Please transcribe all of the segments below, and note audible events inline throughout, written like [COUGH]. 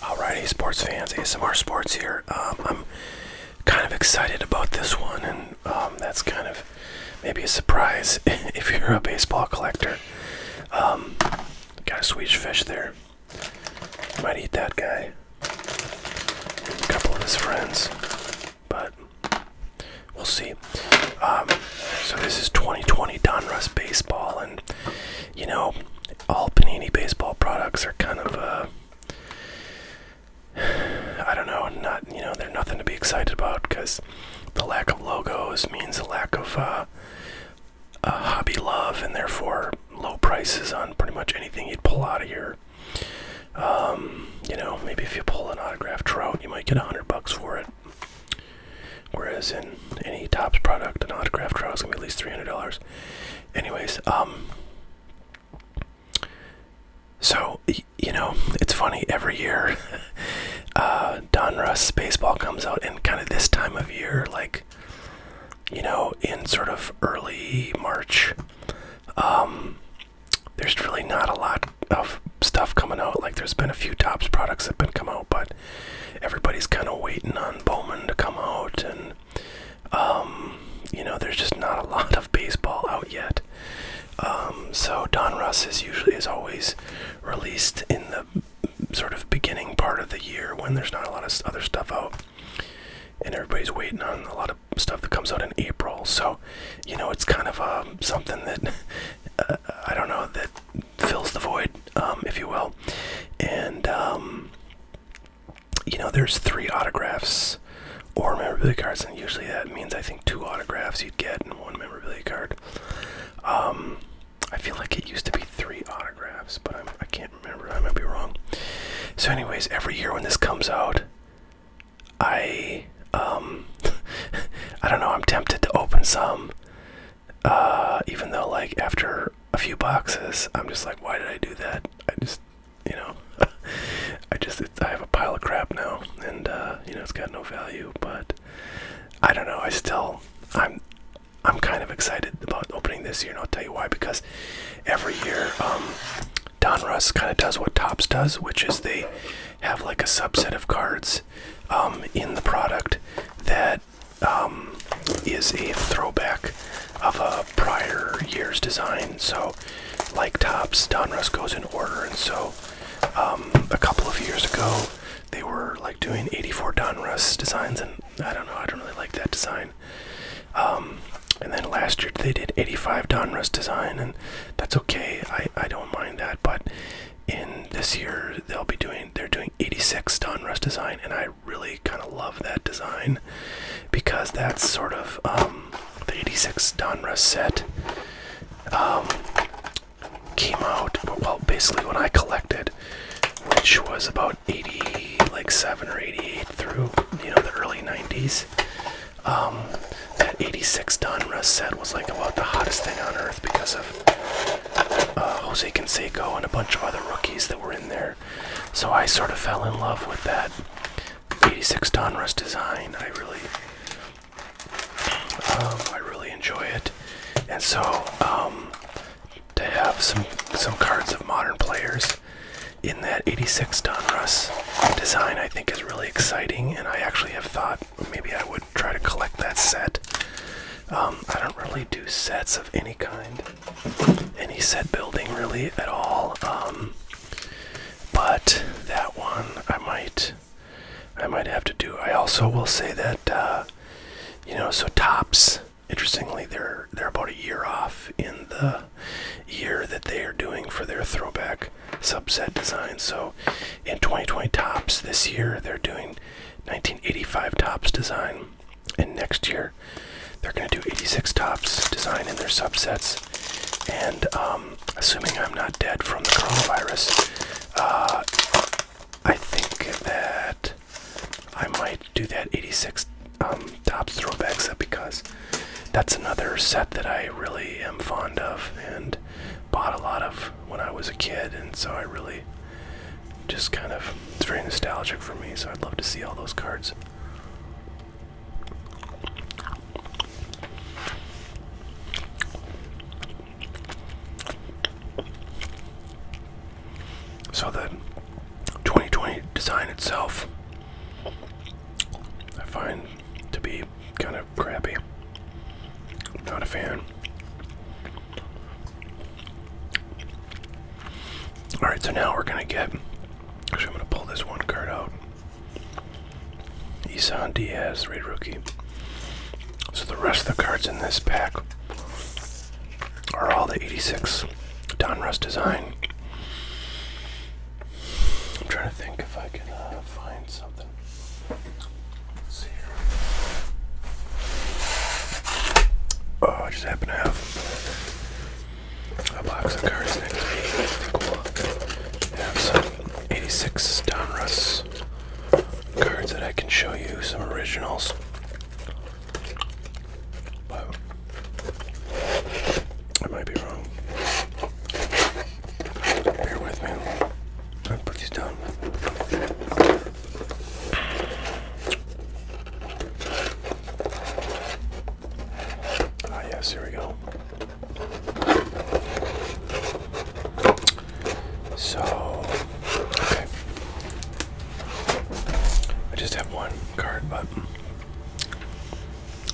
Alrighty, sports fans, ASMR Sports here. Um, I'm kind of excited about this one, and um, that's kind of maybe a surprise [LAUGHS] if you're a baseball collector. Um, got a Swedish fish there. Might eat that guy. couple of his friends, but we'll see. Um, so this is 2020 Donruss baseball, and you know, all Panini baseball products are kind of uh [SIGHS] I don't know, not you know, they're nothing to be excited about because the lack of logos means a lack of uh, a hobby love and therefore low prices on pretty much anything you'd pull out of here. Um, you know, maybe if you pull an autograph trout, you might get a hundred bucks for it. Whereas in any Topps product, an autograph draw is gonna be at least three hundred dollars. Anyways, um, so you know it's funny every year. [LAUGHS] uh, Don Russ baseball comes out, in kind of this time of year, like you know, in sort of early March, um, there's really not a lot of stuff coming out. Like there's been a few Topps products that have been come out, but everybody's kind of waiting on Bowman to come out, and um, you know, there's just not a [LAUGHS] lot of baseball out yet. Um, so Don Russ is usually is always released in the sort of beginning part of the year when there's not a lot of other stuff out and everybody's waiting on a lot of stuff that comes out in April. So, you know, it's kind of uh, something that [LAUGHS] uh, I don't know that fills the void, um, if you will. And um, you know, there's three autographs or memorabilia cards, and usually that means I think two autographs you'd get and one memorabilia card. Um, I feel like it used to be three autographs, but I'm, I can not remember. I might be wrong. So, anyways, every year when this comes out, I [LAUGHS] I don't know. I'm tempted to open some uh, even though like after a few boxes, I'm just like, why did I do that? I just, you know, [LAUGHS] I just I have a pile of crap now, and uh, you know it's got no value. But I don't know. I still I'm I'm kind of excited about opening this year, and I'll tell you why. Because every year, um, Don Russ kind of does what Tops does, which is they have like a subset of cards um, in the product that um, is a throwback of a prior year's design. So, like tops, Donruss goes in order, and so um, a couple of years ago they were like doing 84 Donruss designs, and I don't know, I don't really like that design. Um, and then last year they did 85 Donruss design, and that's okay. I I don't mind that, but in this year they'll be doing they're doing 86 Donruss design and I really kind of love that design because that's sort of um, the 86 Donruss set um, came out well basically when I collected which was about 80 like 7 or 88 through you know the early 90s um, that 86 Donruss set was like about the hottest thing on earth because of uh, Jose Canseco and a bunch of other rookies that were in there. So I sort of fell in love with that 86 Donruss design. I really, um, I really enjoy it. And so um, to have some some cards of modern players in that 86 Donruss design, I think is really exciting. And I actually have thought maybe I would try to collect that set. Um, I don't really do sets of any kind, any set building really at all. Um, but that one I might, I might have to do. I also will say that, uh, you know, so tops. Interestingly, they're they're about a year off in the year that they are doing for their throwback subset design. So in 2020 tops this year, they're doing 1985 tops design. And next year, they're going to do 86 tops design in their subsets. And um, assuming I'm not dead from the coronavirus, uh, I think that I might do that 86 um, tops throwback set because that's another set that I really am fond of and bought a lot of when I was a kid, and so I really just kind of it's very nostalgic for me so i'd love to see all those cards so the 2020 design itself i find to be kind of crappy not a fan Alright, so now we're going to get. Actually, I'm going to pull this one card out. Isan Diaz, Red Rookie. So the rest of the cards in this pack are all the 86 Donruss design. I'm trying to think if I can uh, find something. Oh, I just happen to have a box of cards next to me. I have some 86 Donruss cards that I can show you, some originals. I might be wrong. Bear with me. i put these down. Ah, yes, here we go. So, okay. I just have one card, but.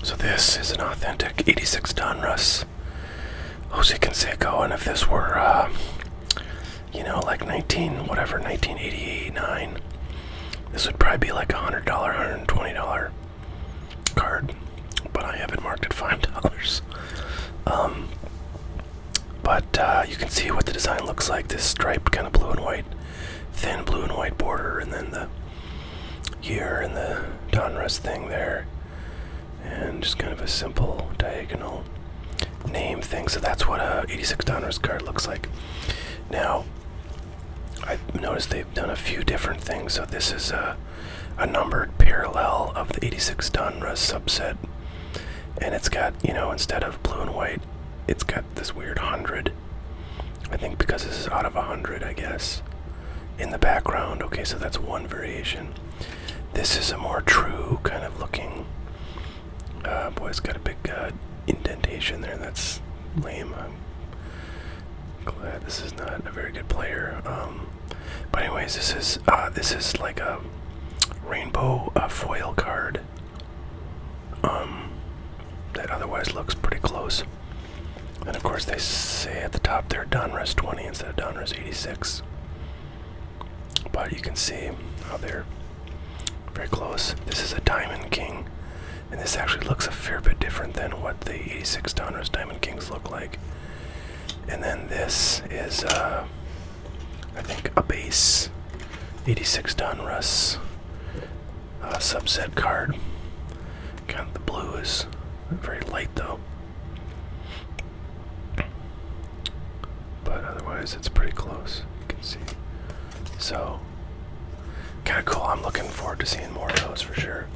So, this is an authentic 86 Donruss Jose Canseco, and if this were uh, you know, like 19, whatever, 1989, this would probably be like a $100, $120 card, but I have it marked at $5. [LAUGHS] Um, but uh, you can see what the design looks like, this striped kind of blue and white, thin blue and white border, and then the year and the Donruss thing there and just kind of a simple diagonal name thing. So that's what a 86 Donruss card looks like. Now, I've noticed they've done a few different things. So this is a, a numbered parallel of the 86 Donruss subset, and it's got you know instead of blue and white, it's got this weird hundred. I think because this is out of a hundred, I guess. In the background, okay, so that's one variation. This is a more true kind of looking. Uh, boy, has got a big uh, indentation there. That's lame. glad this is not a very good player. Um, but anyways, this is uh, this is like a rainbow foil card. Um, that otherwise looks pretty close. And of course, they say at the top there, are 20 instead of Donruss 86. But you can see how they're very close. This is a Diamond King, and this actually looks a fair bit different than what the 86 Donner's Diamond Kings look like. And then this is, uh, I think, a base 86 Donruss uh, subset card. Kind of the blue is very light though. But otherwise, it's pretty close. You can see. So, kind of cool. I'm looking forward to seeing more of those for sure.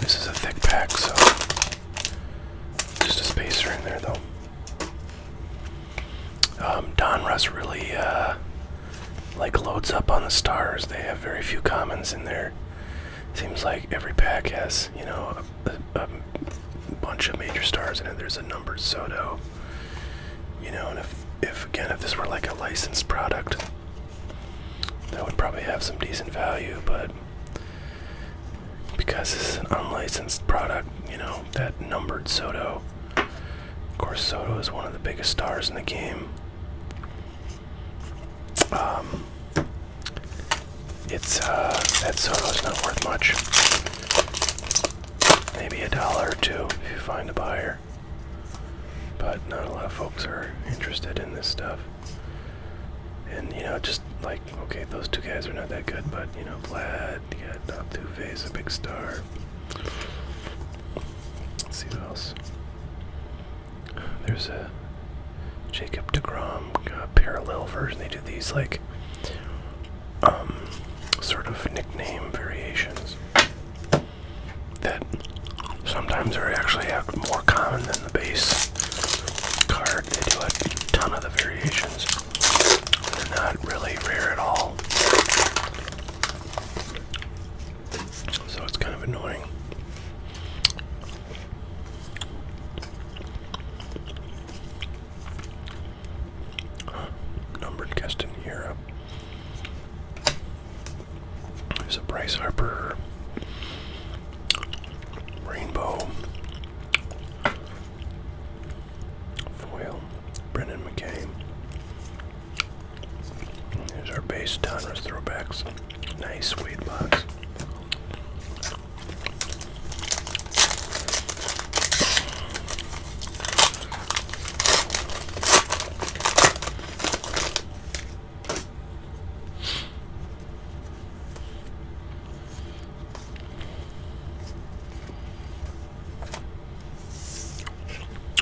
This is a thick pack, so just a spacer in there, though. Um, Donruss really uh, like loads up on the stars. They have very few commons in there. Seems like every pack has, you know, a, bunch of major stars in it. There's a numbered Soto. You know, and if, if again, if this were like a licensed product, that would probably have some decent value, but because this is an unlicensed product, you know, that numbered Soto. Of course, Soto is one of the biggest stars in the game. Um, it's uh, that Sono's not worth much. Maybe a dollar or two if you find a buyer. But not a lot of folks are interested in this stuff. And you know, just like okay, those two guys are not that good, but you know, Vlad, you got Tuve a big star. Let's see what else. There's a Jacob DeGrom uh, parallel version. They do these like um, sort of nickname variations that sometimes are actually more common than the base card. They do a ton of the variations. They're not really rare at all. So it's kind of annoying. Numbered guest in Europe. There's a Bryce Harper Rainbow Foil Brennan McCain Here's our base Donruss throwbacks. Nice sweet box.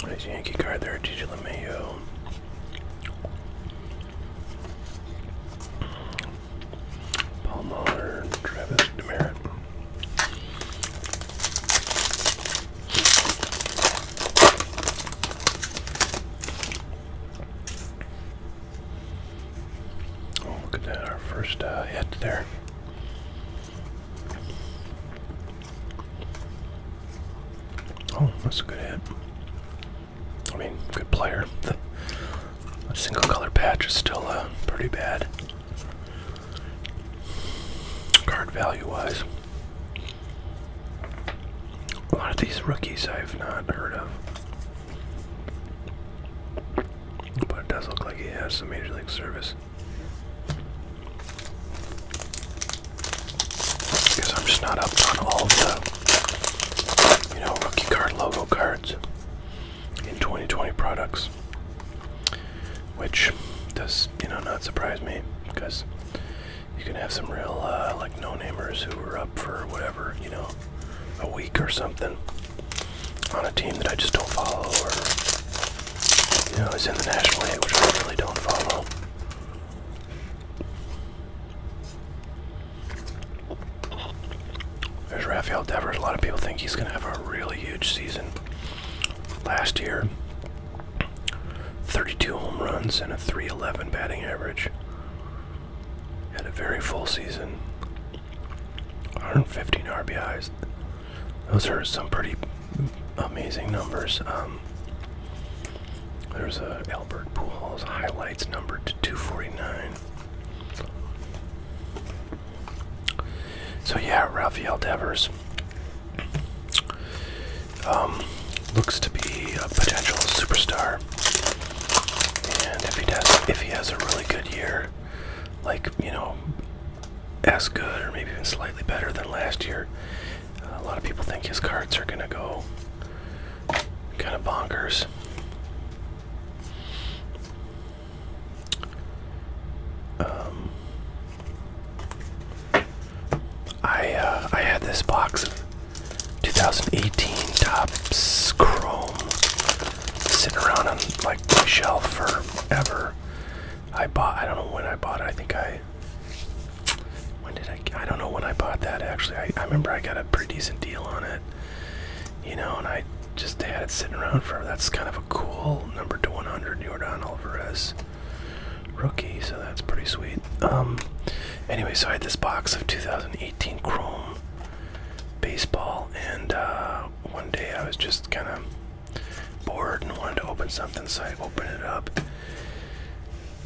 Nice Yankee card there, DJ LeMayo. Paul Mahler, Travis Demerit. Oh, look at that, our first uh, hit there. Oh, that's a good hit. I mean, good player. [LAUGHS] a single color patch is still uh, pretty bad. Card value wise. A lot of these rookies I've not heard of. But it does look like he has some major league service. Because I'm just not up on all the, you know, rookie card logo cards in 2020 products. Which does, you know, not surprise me because you can have some real, uh, like, no-namers who were up for whatever, you know, a week or something on a team that I just don't follow or you know, it's in the national League, which I really don't follow. There's Rafael Devers. A lot of people think he's going to have a really huge season. Last year, 32 home runs and a 311 batting average. Had a very full season. 115 RBIs. Those are some pretty amazing numbers. Um, there's a Albert Pujols highlights number to 249. So yeah, Rafael Devers um, looks to be a potential superstar, and if he does, if he has a really good year, like you know, as good or maybe even slightly better than last year. Uh, a lot of people think his cards are going to go kind of bonkers. Um, I uh, I had this box of 2018 Topps Chrome sitting around on like my shelf forever, I bought, I don't know when I bought it. I think I, when did I, I don't know when I bought that actually. I, remember I got a pretty decent deal on it, you know, and I just had it sitting around for. That's kind of a cool number to 100 Jordan Alvarez rookie, so that's pretty sweet. Um, anyway, so I had this box of 2018 Chrome baseball, and uh, one day I was just kind of bored and wanted to open something, so I opened it up.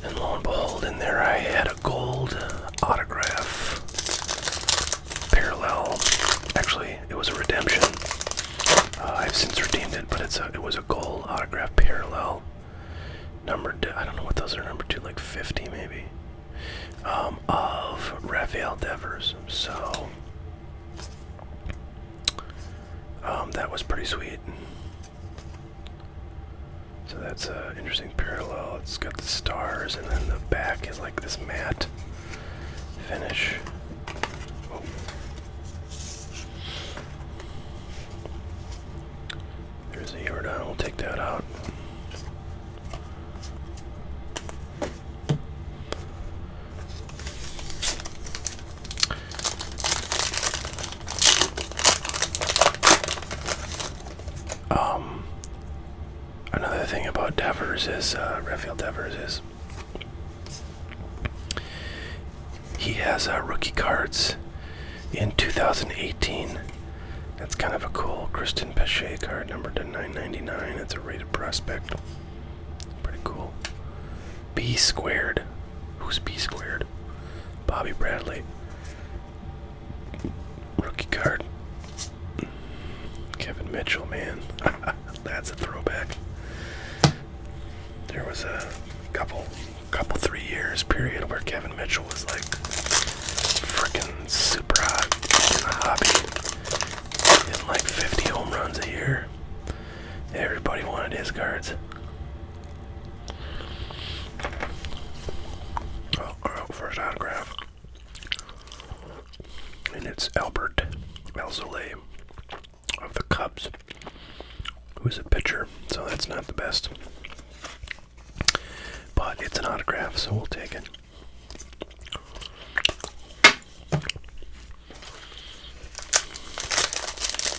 And lo and behold, in there I had a gold autograph parallel. Actually, it was a redemption. Uh, I've since redeemed it, but it's a, it was a gold autograph parallel. Number, I don't know what those are, number two, like 50 maybe, um, of Raphael Devers. So um, that was pretty sweet. So that's an interesting parallel. It's got the stars, and then the back is like this matte finish. Oh. There's a down. we'll take that out. Um, another thing about Devers is, uh, Devers is, he has uh, rookie cards in 2018. That's kind of a cool Kristen Pache card, number to 999. It's a rated prospect. Pretty cool. B squared. Who's B squared? Bobby Bradley. Rookie card. Kevin Mitchell, man. [LAUGHS] That's a throwback. There was a couple couple three years period where Kevin Mitchell was like freaking super hot in like 50 home runs a year. Everybody wanted his cards. Oh, oh, first autograph. And it's Albert Elzole of the Cubs, who's a pitcher, so that's not the best. But it's an autograph, so we'll take it.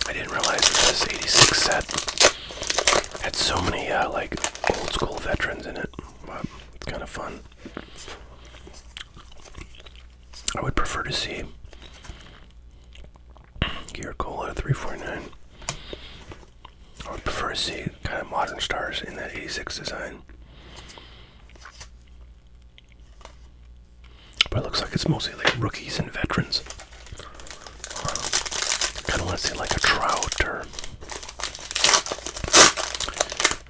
I didn't realize that this 86 set had so many uh, like old school veterans in it. But it's kind of fun. I would prefer to see Gear Cola 349. I would prefer to see kind of modern stars in that 86 design. But it looks like it's mostly like rookies and veterans. kind of want to see like a Trout or,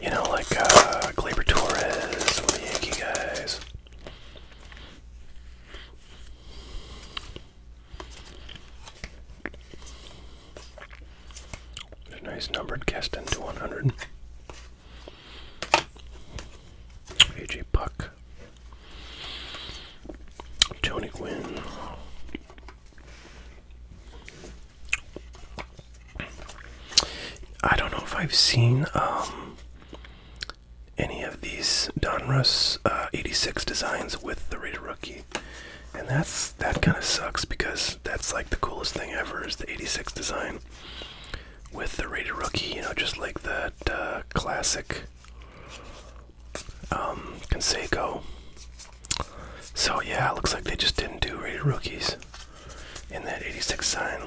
you know, like uh, Glaber Torres, some the Yankee guys. nice numbered cast into 100. AJ Puck, Tony Gwynn, I don't know if I've seen um, any of these Donruss uh, 86 designs with the Raider Rookie. And that's that kind of sucks because that's like the coolest thing ever is the 86 design with the rated rookie, you know, just like that uh, classic um, So yeah, looks like they just didn't do rated rookies in that 86 sign,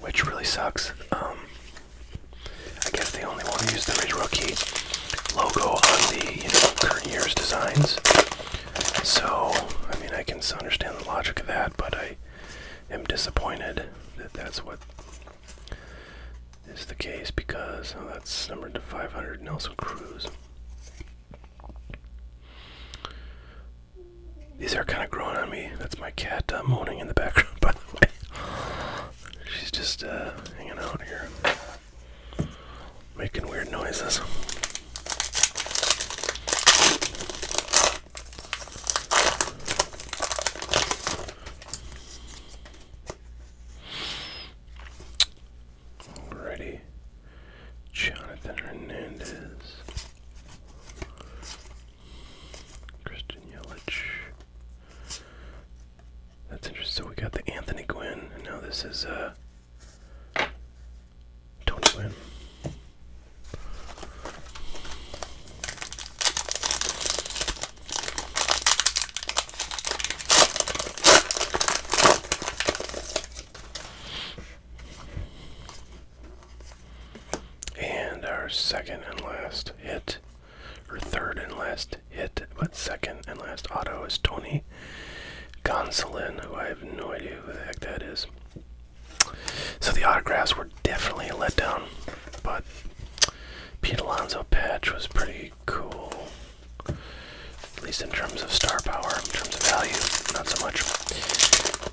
which really sucks. Um, I guess they only want to use the rated rookie logo on the you know current year's designs. So I mean, I can understand the logic of that, but I i am disappointed that that's what is the case because oh, that's numbered to 500 Nelson Cruz. These are kind of growing on me. That's my cat uh, moaning in the background, [LAUGHS] by the way. She's just uh, hanging out here, making weird noises. Alrighty, Jonathan Hernandez, Christian Yelich. That's interesting. So we got the Anthony Gwynn, and now this is uh, don't win. And our second and last hit, or third and last hit, but second and last auto is Tony Gonsolin, who I have no idea who the heck that is. So the autographs were definitely a letdown, but Pete Alonso patch was pretty cool. At least in terms of star power, in terms of value, not so much.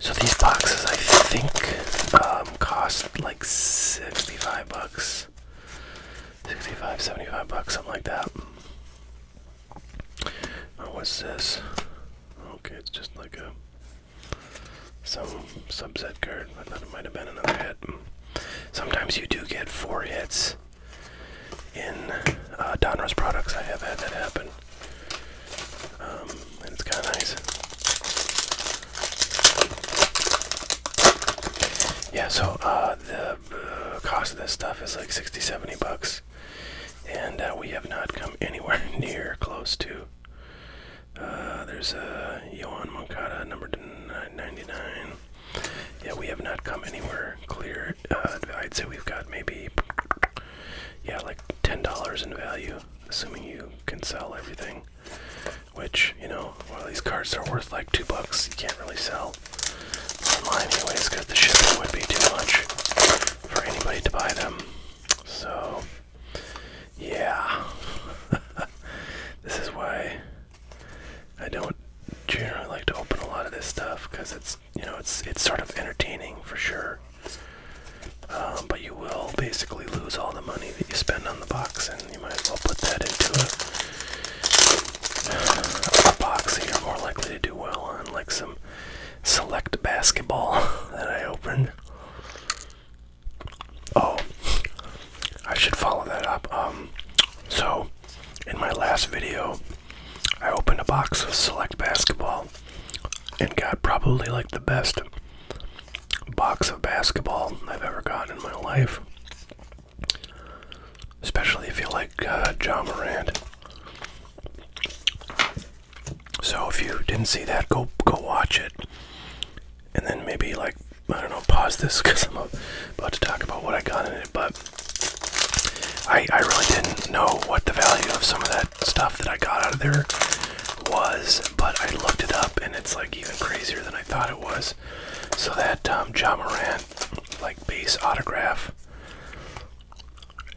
So these boxes, I think, um, cost like 65 bucks. 65, 75 bucks, something like that. Oh, what's this? Okay, it's just like a some subset card. I thought it might have been another hit. Sometimes you do get four hits in uh, products. I have had that happen. Um, it's kind of nice. Yeah, so uh, the uh, cost of this stuff is like 60 70 bucks and uh, we have not come anywhere [LAUGHS] near close to. Uh, there's a uh, Johan Moncada, number 99. Yeah, we have not come anywhere clear. Uh, I'd say we've got maybe, yeah, like $10 in value, assuming you can sell everything. Which, you know, all these cards are worth like two bucks, you can't really sell online anyways because the shipping would be too much for anybody to buy them. So, yeah. [LAUGHS] this is why I don't generally like to open a lot of this stuff because it's, you know, it's it's sort of entertaining for sure. Um, but you will basically lose all the money that you spend on the box, and you might as well put that into a box that you're more likely to do well on, like some select basketball [LAUGHS] that I opened. Oh, I should follow that up. Um, so in my last video, I opened a box of select basketball and got probably like the best box of basketball I've ever gotten in my life. Especially if you like uh, John Moran. So if you didn't see that, go go watch it, and then maybe like I don't know, pause this because [LAUGHS] I'm about to talk about what I got in it. But I I really didn't know what the value of some of that stuff that I got out of there was, but I looked it up and it's like even crazier than I thought it was. So that um, John Morant like base autograph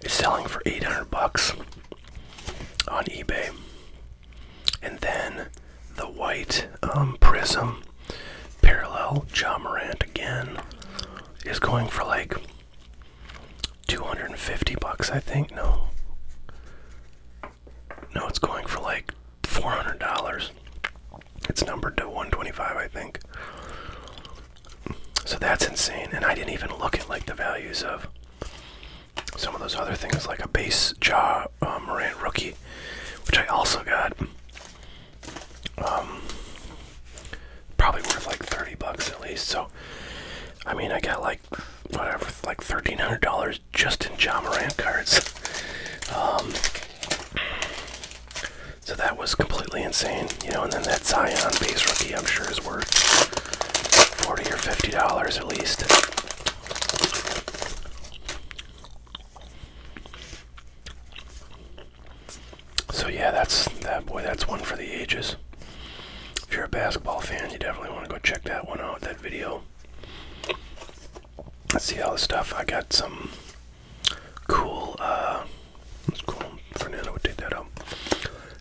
is selling for 800 bucks on eBay. And then the white um, prism parallel John Morant again is going for like 250 bucks, I think. No. No, it's going for like $400. It's numbered to 125, I think. So that's insane. And I didn't even look at like the values of some of those other things, like a base jaw uh, Morant rookie, which I also got. Um, probably worth like 30 bucks at least. So, I mean, I got like whatever, like $1,300 just in John Morant cards. Um, so that was completely insane. You know, and then that Zion base rookie, I'm sure, is worth 40 or $50 at least. So yeah, that's that boy. That's one for the ages. If you're a basketball fan, you definitely want to go check that one out. That video. Let's see all the stuff. I got some cool uh, that's cool. For I would take that out.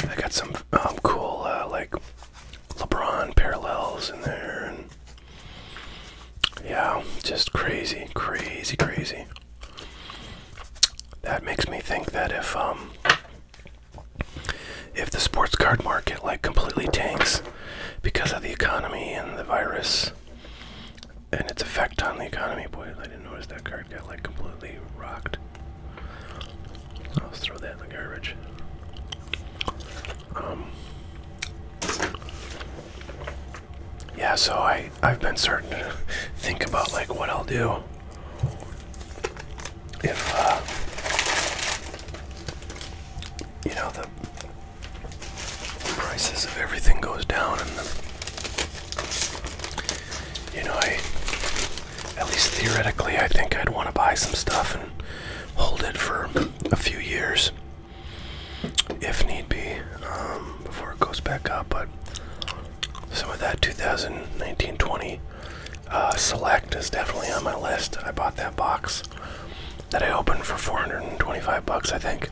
I got some um, cool, uh, like, LeBron parallels in there. and Yeah, just crazy, crazy, crazy. That makes me think that if, um, if the sports card market, like, completely tanks because of the economy and the virus and its effect on the economy, boy, I didn't notice that card got, like, completely rocked. I'll throw that in the garbage. Um, yeah, so I I've been starting to [LAUGHS] think about like what I'll do if uh, you know the prices of everything goes down and you know I at least theoretically, I think I'd want to buy some stuff and hold it for a few years if need be um, before it goes back up. But some of that 2019 20 uh, Select is definitely on my list. I bought that box that I opened for 425 bucks, I think.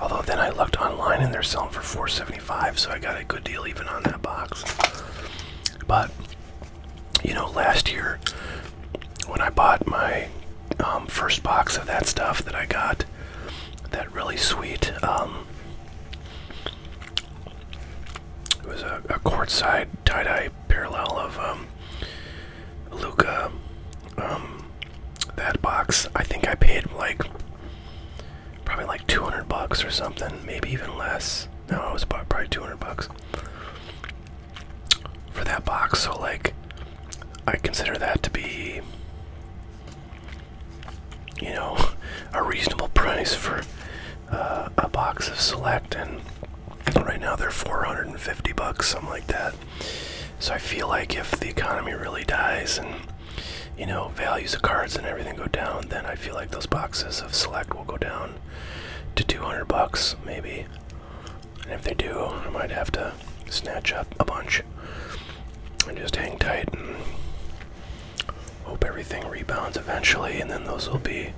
Although then I looked online and they're selling for 475, so I got a good deal even on that box. But you know, last year when I bought my um, first box of that stuff that I got, that really sweet, um, it was a, a quartzside tie-dye parallel of um, Luca. that box, I think I paid like probably like 200 bucks or something, maybe even less. No, it was probably 200 bucks for that box. So like, I consider that to be, you know, a reasonable price for uh, a box of Select, and right now they're 450 bucks, something like that. So I feel like if the economy really dies and you know, values of cards and everything go down, then I feel like those boxes of select will go down to 200 bucks, maybe. And if they do, I might have to snatch up a bunch and just hang tight and hope everything rebounds eventually, and then those will be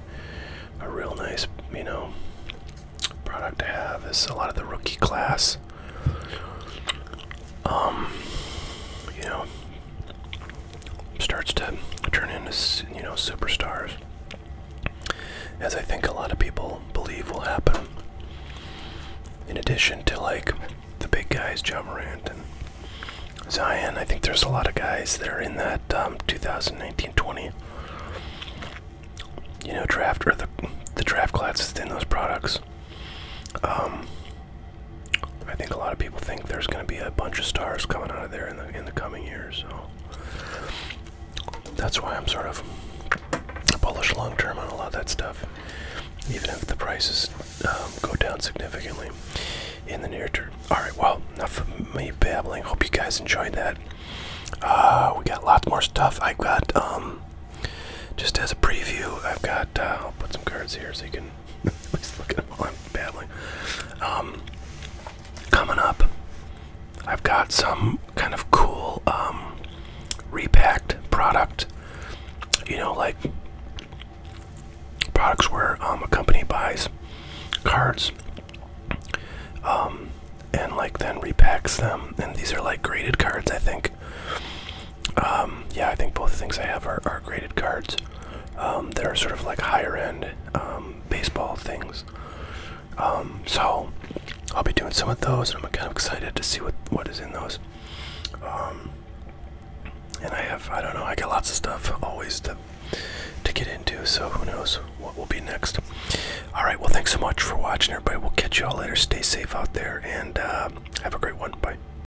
a real nice, you know, product to have. It's a lot of the rookie class um, you know, starts to turn into you know superstars, as I think a lot of people believe will happen. In addition to like the big guys, John Morant and Zion, I think there's a lot of guys that are in that 2019-20. Um, you know, draft or the the draft class in those products. Um, I think a lot of people think there's going to be a bunch of stars coming out of there in the in the coming years. So that's why I'm sort of bullish long term on a lot of that stuff, even if the prices um, go down significantly in the near term. All right, well, enough of me babbling. Hope you guys enjoyed that. Uh, we got lots more stuff. I got um, just as a preview, I've got. Uh, I'll put some cards here so you can [LAUGHS] looking at while i um, coming up, I've got some kind of cool um, repacked product. You know, like products where um, a company buys cards and like then repacks them. And these are like graded cards, I think. Um, yeah, I think both things I have are, are graded cards. Um, they're sort of like higher end um, baseball things. so I'll be doing some of those, and I'm kind of excited to see what what is in those. and I have I don't know I got lots of stuff always to to get into, so who knows what will be next. All right, well thanks so much for watching, everybody. We'll catch you all later. Stay safe out there, and uh, have a great one. Bye.